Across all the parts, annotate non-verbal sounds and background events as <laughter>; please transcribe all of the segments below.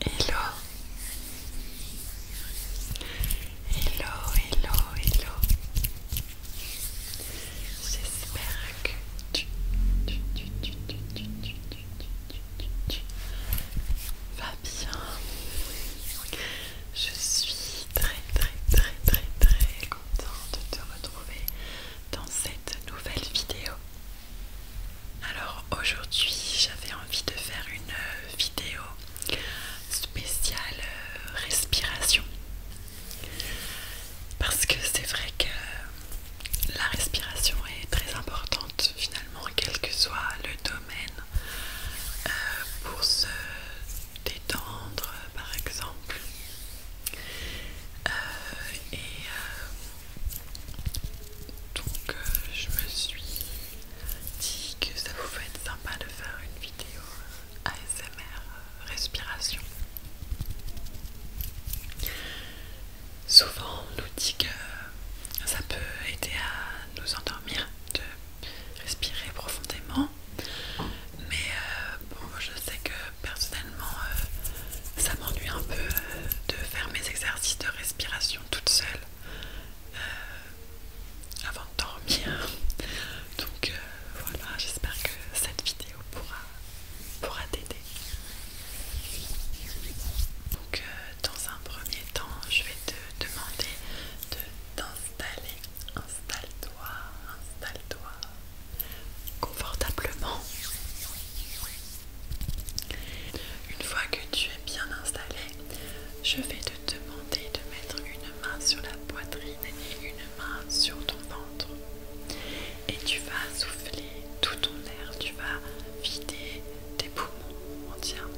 Hello Hello, hello, hello J'espère que tu, vas bien Je suis très très très très très contente de te retrouver dans cette nouvelle vidéo. Alors aujourd'hui j'avais envie de faire une vidéo spéciale euh, respiration parce que c'est vrai que la respiration est très importante finalement quel que soit le domaine euh, pour se détendre, par exemple. Euh, et euh, donc euh, je me suis dit que ça pouvait être sympa de faire une vidéo ASMR respiration. Souvent on nous dit que ça peut aider à nous endormir, de respirer profondément. Mais euh, bon, je sais que personnellement, euh, ça m'ennuie un peu euh, de faire mes exercices de respiration toute seule avant de dormir. <laughs> Donc voilà, j'espère que cette vidéo pourra, pourra t'aider. Donc dans un premier temps, je vais te demander de t'installer. Installe-toi, installe-toi, confortablement. Une fois que tu es bien installé, je vais te demander de mettre une main sur la poitrine et une main sur ton ventre. Et tu vas souffler tout ton air, tu vas vider tes poumons entièrement.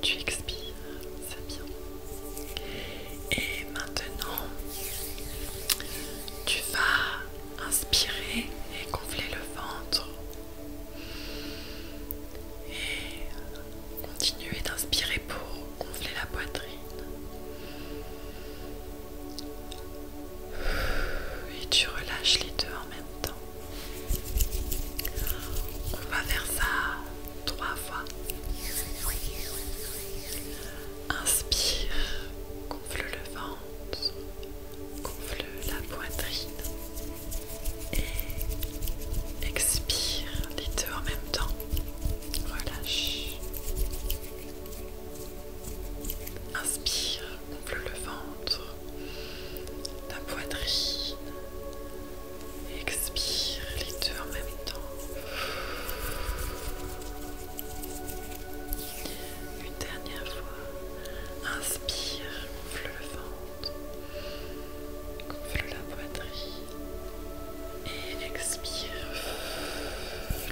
Tu expires, c'est bien. Et maintenant, tu vas inspirer et gonfler le ventre. Et continuer d'inspirer pour gonfler la poitrine. Et tu relâches les deux en même temps. On va faire ça trois fois. Inspire, gonfle le ventre, gonfle la poitrine et expire les deux en même temps. Relâche. Inspire, gonfle le ventre, la poitrine, Expire les deux en même temps. Une dernière fois. Inspire, gonfle le ventre, gonfle la poitrine. Et expire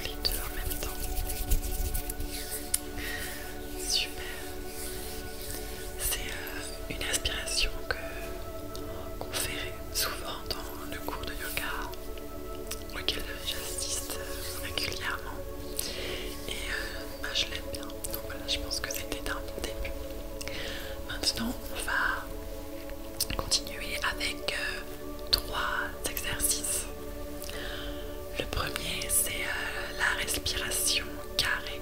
les deux en même temps. Super. C'est une inspiration qu'on fait souvent dans le cours de yoga auquel j'assiste euh, régulièrement et euh, bah, je l'aime bien donc voilà je pense que c'était un bon début maintenant on va continuer avec euh, trois exercices le premier c'est la respiration carré.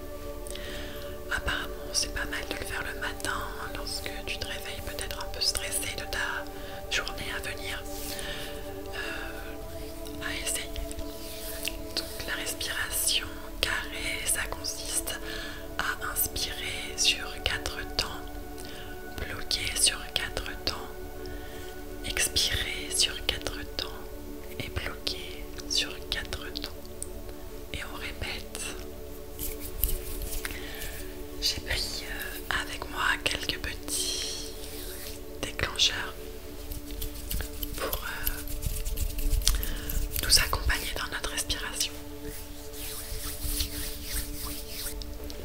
Apparemment, c'est pas mal de le faire le matin hein, lorsque tu te réveilles peut-être un peu stressé de ta journée à venir. Euh, à essayer. Donc la respiration carrée, ça consiste à inspirer sur quatre temps, bloquer sur quatre temps, expirer sur quatre temps et bloquer sur quatre temps et on répète. J'ai pris euh, avec moi quelques petits déclencheurs pour euh, nous accompagner dans notre respiration.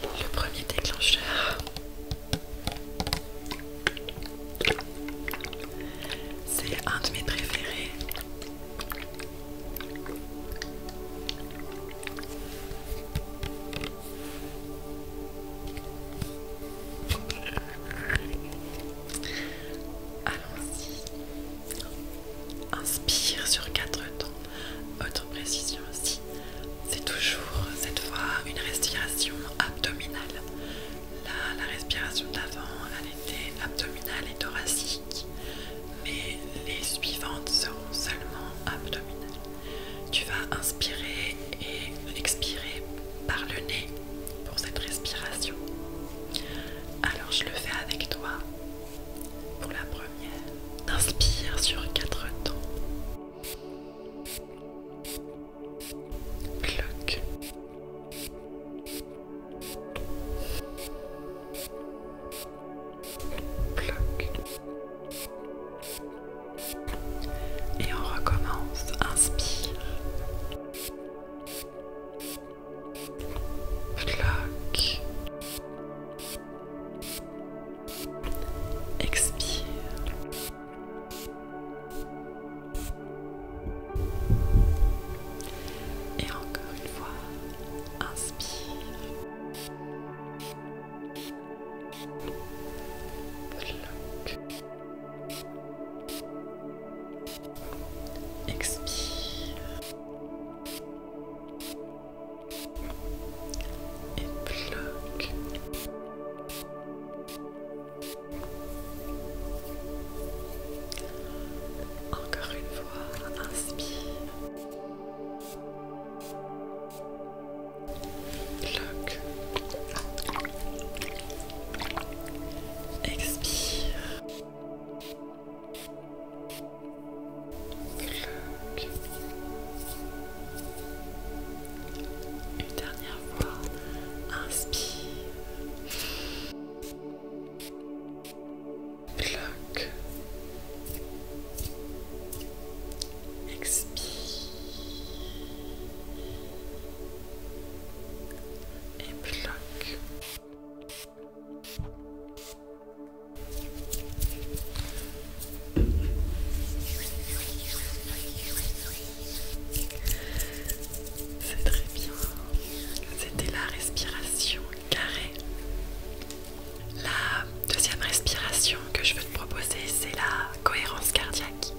Le premier déclencheur c'est un de mes préférés. Allons-y. Inspire sur quatre temps. Autre précision aussi. C'est toujours cette fois une respiration abdominale. Là, la respiration d'avant, elle était abdominale et thoracique, mais les suivantes seront seulement abdominales. Tu vas inspirer et expirer par le nez pour cette respiration. Alors je le fais avec toi pour la première. Inspire sur quatre temps. Et on recommence. Inspire. Clac. Expire. Et encore une fois, inspire. Expire. Et bloque. Encore une fois, inspire. Bloque. Expire. Une dernière fois, inspire. Bloque. Expire. Et bloque. C'est très bien. C'était la respiration carrée. La deuxième respiration que je veux te proposer, c'est la cohérence cardiaque.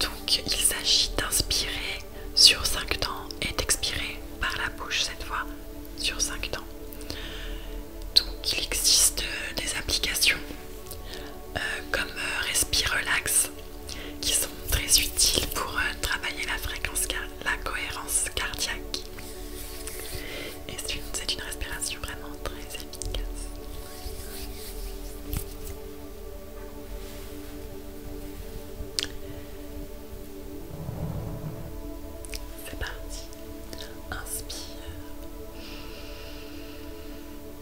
Donc il s'agit d'inspirer sur 5 temps et d'expirer par la bouche cette fois sur 5 temps. Donc il existe des applications euh, comme respirer euh, Respire Relax qui sont très utiles pour euh, travailler la fréquence, la cohérence cardiaque. Et c'est une, une respiration vraiment très efficace. C'est parti. Inspire.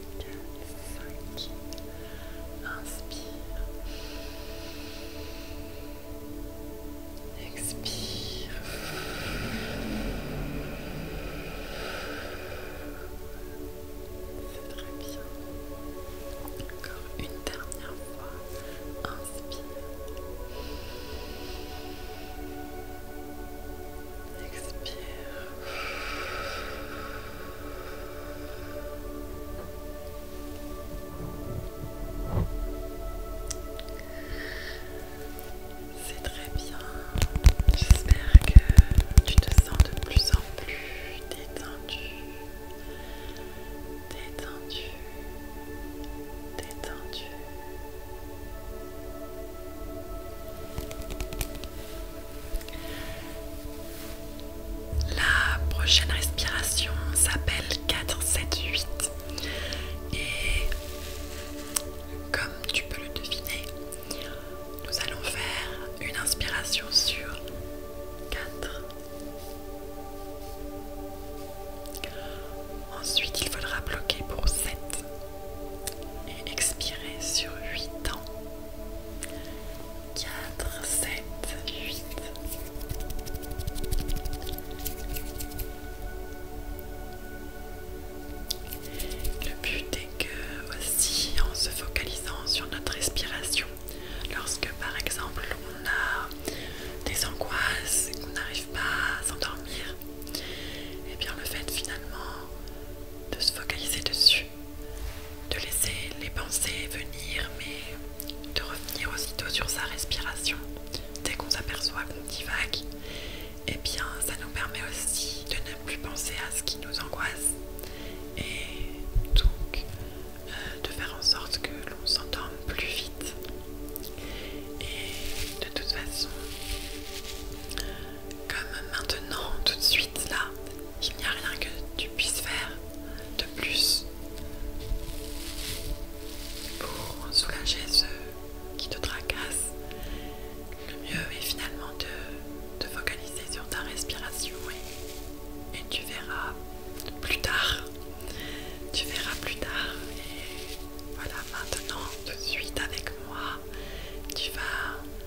4 5 Inspire Expire Expire Expire Expire Expire C'est très bien Encore une dernière fois Inspire Expire c'est très bien. J'espère que tu te sens de plus en plus détendu. Détendu. Détendu. La prochaine respiration s'appelle 4, 7, 8. Et comme tu peux le deviner, nous allons faire une inspiration sur 4. Ensuite, il faudra bloquer pour 7 et expirer sur 8 ans. 4, 7, 8. Le but est que aussi en se focalisant sur notre respiration, lorsque par exemple on a des angoisses, qu'on n'arrive pas à s'endormir, et eh bien le fait finalement de se focaliser dessus de laisser les pensées venir, mais de revenir aussitôt sur sa respiration. Dès qu'on s'aperçoit qu'on divague, et eh bien ça nous permet aussi de ne plus penser à ce qui nous angoisse et donc euh, de faire en sorte que l'on s'endorme plus vite. Et de toute façon, comme maintenant, tout de suite, là, il n'y a rien que tu puisses faire de plus pour soulager ceux qui te tracassent. Le mieux est finalement de te focaliser sur ta respiration et, tu verras plus tard. Tu verras plus tard. Et voilà, maintenant, tout de suite avec moi, tu vas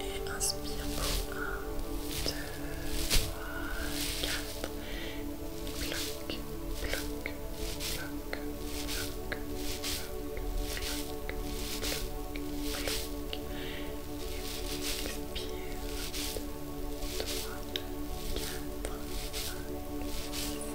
Et inspire pour 1, 2, 3, 4. Bloc, bloc, bloc, bloc, bloc, bloc, bloc. Et expire. 2, 3, 4, 5,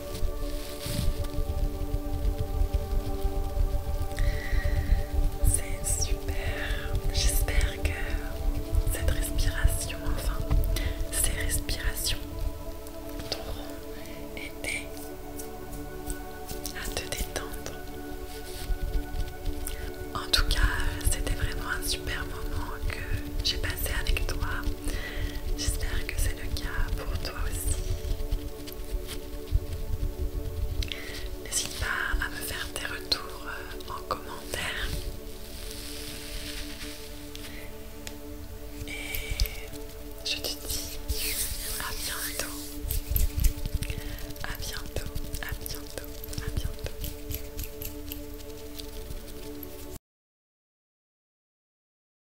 C'est super. J'espère que cette respiration, enfin, ces respirations t'auront aidé à te détendre. En tout cas, c'était vraiment un super moment que j'ai passé avec toi. J'espère que c'est le cas pour toi aussi. N'hésite pas à me faire tes retours euh, en commentaire. Et je te dis à bientôt. À bientôt, à bientôt, à bientôt.